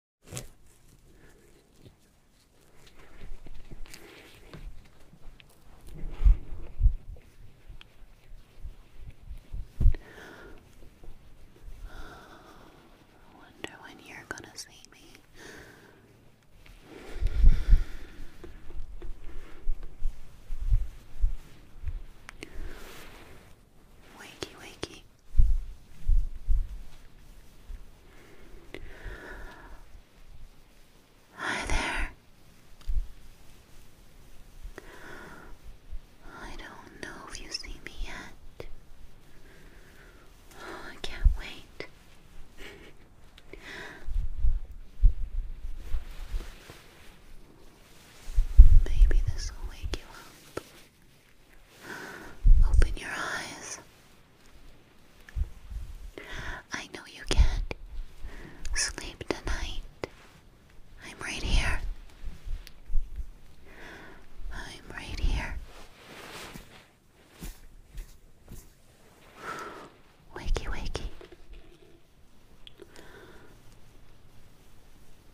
I wonder when you're gonna see me. Wakey, wakey. Hi there. I don't know if you see me yet. Oh, I can't wait. Maybe this will wake you up. Open your eyes. I know you can't sleep tonight. I'm right here. I'm right here. Wakey, wakey.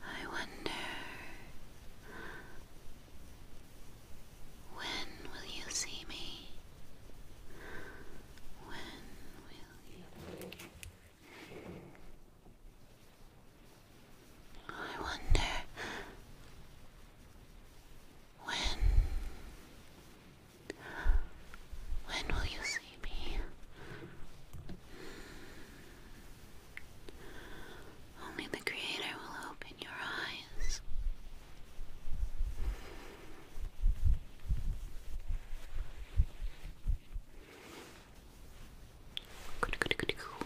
I wonder when will you see me? When will you? I wonder when when will you see me? Only the Creator will open your eyes.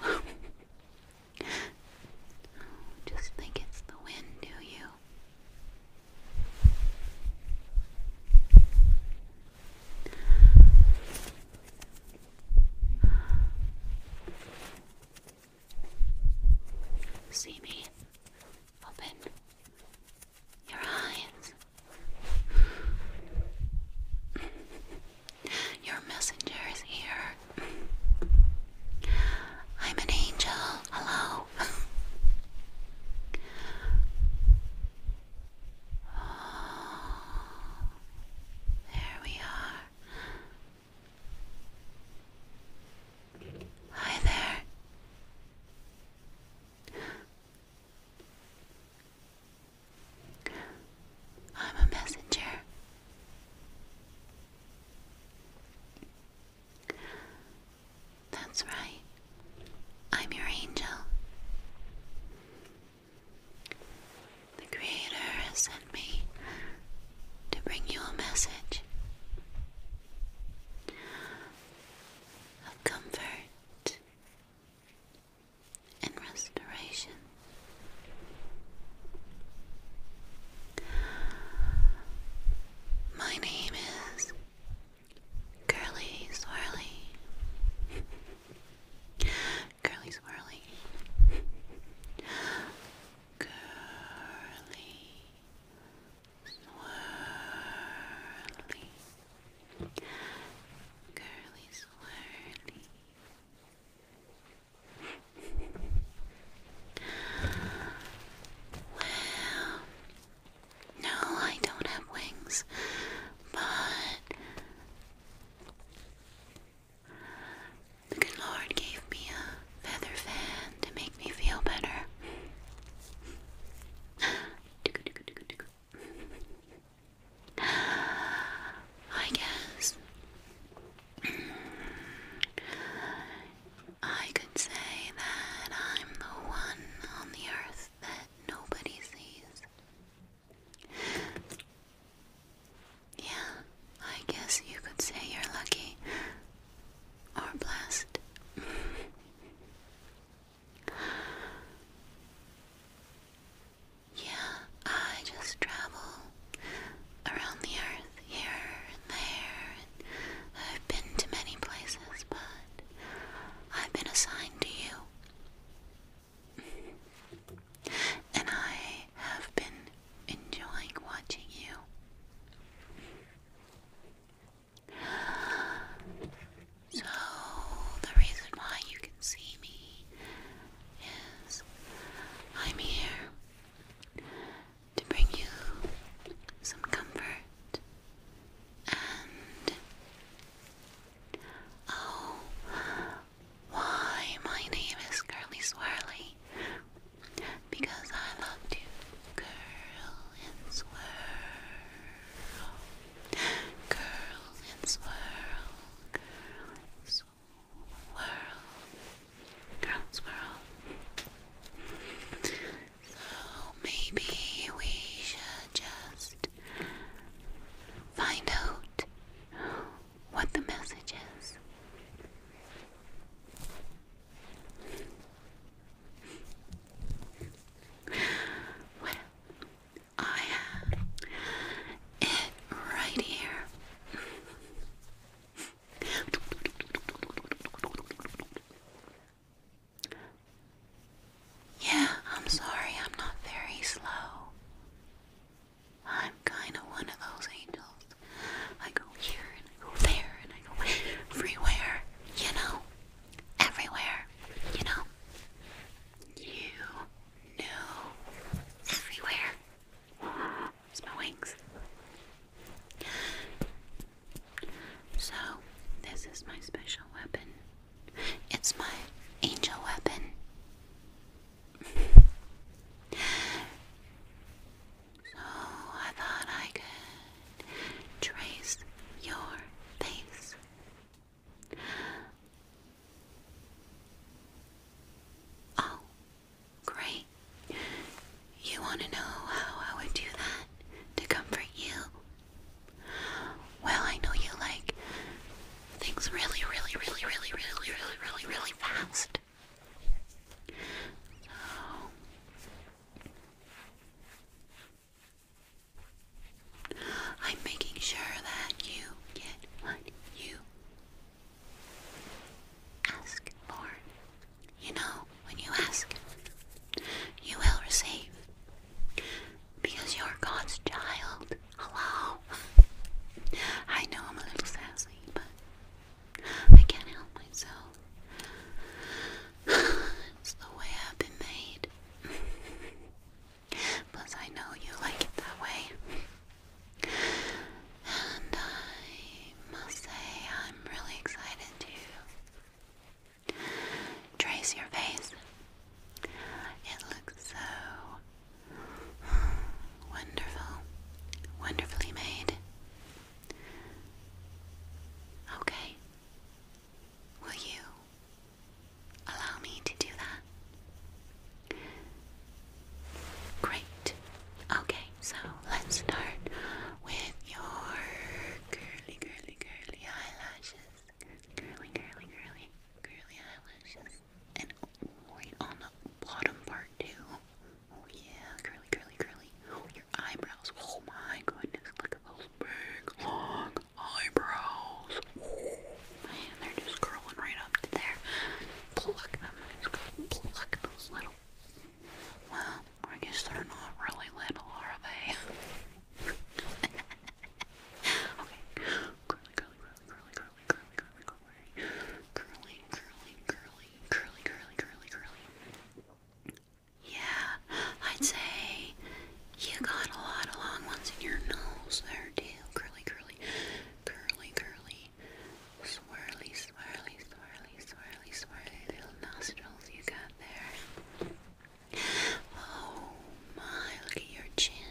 oh, just think it's the wind, do you? See me. Open your eyes. Your messenger is here. I'm an angel. Hello. Oh, there we are. Hi there. I'm a messenger. That's right. I'm your angel. The Creator has sent me to bring you a message of comfort and restoration. My name is Curly Swirly. Curly swirly. Curly swirly. Curly swirly. well, no, I don't have wings, but the good Lord gave me a feather fan to make me feel better. I guess I could say that I'm the one on the earth that nobody sees. Yeah, I guess you could say you're lucky or blessed. yeah, I just travel around the earth here and there. I've been to many places, but I've been assigned to you and I have been enjoying watching you. So, the reason why you can see me is I'm here to bring you some comfort and. Oh, why my name is Curly Swirly? Because I love to curl and swirl. Curl and swirl. Curl and swirl. Curl and swirl. So maybe we should just find out what the message is. Well, I have it right here. Yeah, I'm sorry, I'm not very slow. I'm kind of one of those angels. I go here and I go there and I go everywhere, you know? Everywhere, you know? You know, everywhere. It's my wings. So, this is my special weapon. It's my angel weapon. So I thought I could trace your face. Oh, great. You want to know how I would do that to comfort you? Well, I know you like things really, really, really, really, really, really, really, really fast. So I'm making sure that you get what you ask for. You know, when you ask, you will receive. Because you're God's child. Hello? I know I'm a little sassy, but I can't help myself. it's the way I've been made. Plus, I know you like it that way. And I must say, I'm really excited to trace your face. It looks so Wonderful. Wonderfully made. Okay. Will you allow me to do that? Great. Okay, so let's start with your curly, curly, curly eyelashes. Curly, curly, curly, curly, eyelashes and right on the bottom part too. Oh yeah, curly, curly, curly. Oh, your eyebrows. Oh my goodness, look at those big, long eyebrows. Oh, man, they're just curling right up to there. Pluck them. Just those little. Well, I guess they're not really little, are they? okay. Curly, curly, curly, curly, curly, curly, curly, curly, curly, curly, curly, curly, curly, curly, curly. Yeah, I'd say you got a lot of long ones in your nose there too. Curly, curly, curly, curly, swirly, swirly, swirly, swirly, swirly little nostrils you got there. Oh my, look at your chin.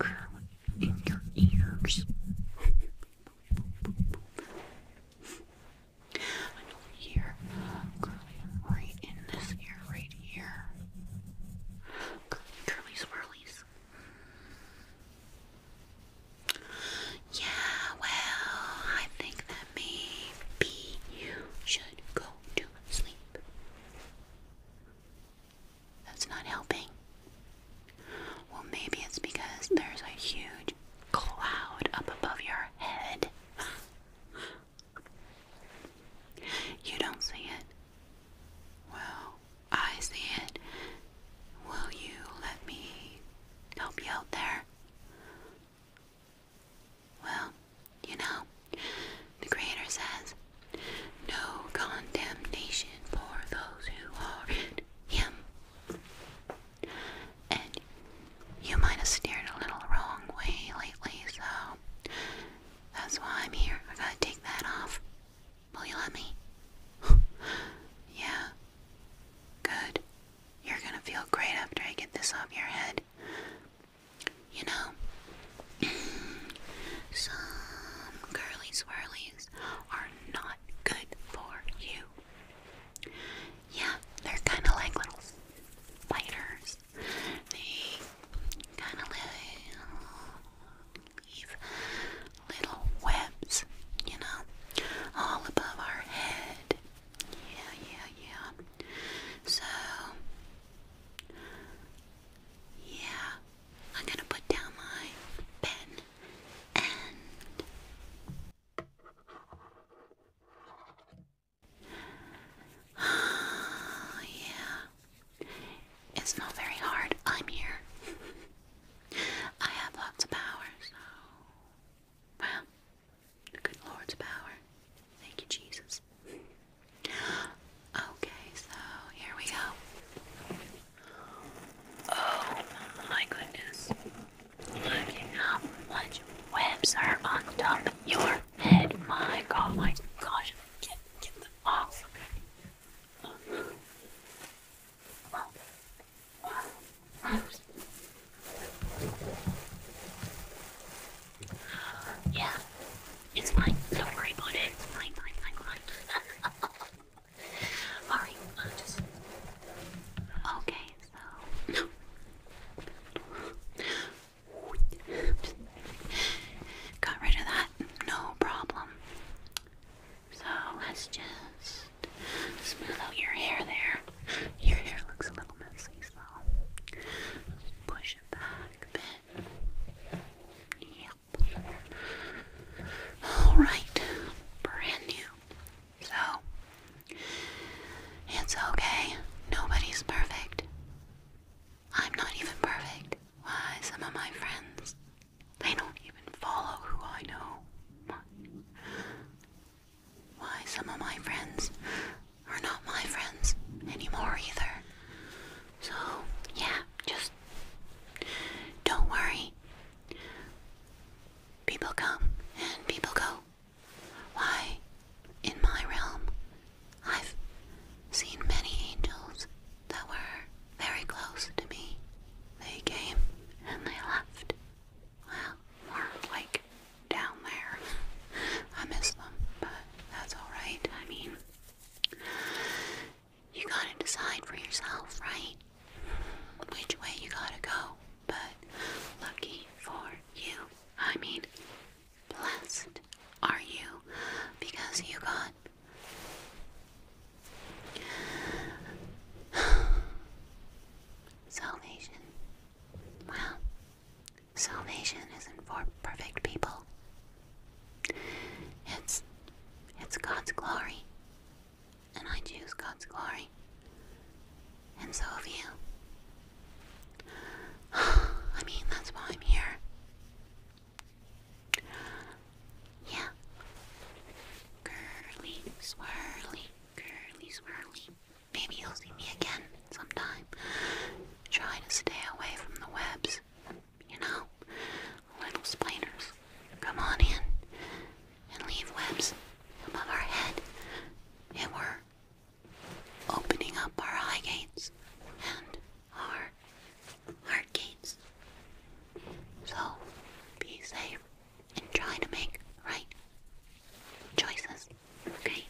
I in your ears. And over here, curling right in this ear right here. Curly, curly swirlies. Yeah, well, I think that maybe you should go to sleep. That's not helping. Well, maybe it's because there's a huge cloud up above your head. you don't see it. Well, I see it. Will you let me help you out there? Well, you know, the Creator says, No condemnation for those who are in Him. And you might have steered a little wrong way lately, so that's why I'm here. I gotta take that off. Will you let me? yeah. Good. You're gonna feel great after I get this off your head. You know, some curly swirlies are not good for you. Yeah, they're kind of like little spiders. They kind of leave little webs, you know, all above our head. Yeah, yeah, yeah. So, yeah, I'm gonna put down my pen and yeah. It's not very hard. I'm here. I have lots of power, so well, good Lord's power. Thank you, Jesus. Okay, so here we go. Oh my goodness. Look at how much webs are on top of your head. My god, my gosh. Get, get them off. Yeah, it's fine. Don't worry about it. It's fine, fine, fine, fine. Alright, uh, just. Okay, so. Got rid of that, no problem. So let's just smooth out your hair there. Your hair looks a little messy, so push it back a bit. Yep. All right. Brand new. So, it's okay. Nobody's perfect. I'm not even perfect. Why, some of my friends, they don't even follow who I know. Why, some of my friends are not my friends anymore either. So, yeah, just don't worry. People come and people go. Why, in my realm, I've seen many angels that were very close to me. They came and they left. Well, more like down there. I miss them, but that's alright. I mean, you gotta decide for yourself, right? Which way you gotta go. But lucky for you, I mean, blessed are you because you got. Salvation. Well, Salvation isn't for perfect people. It's it's God's glory. And I choose God's glory. And so have you. I mean, that's why I'm here. Yeah. Curly, swirly, curly, swirly. Maybe you'll see me again sometime. Try to stay away from the webs you know, little spiders come on in and leave webs above our head, and we're opening up our high gates and our heart gates. So be safe and try to make right choices, okay?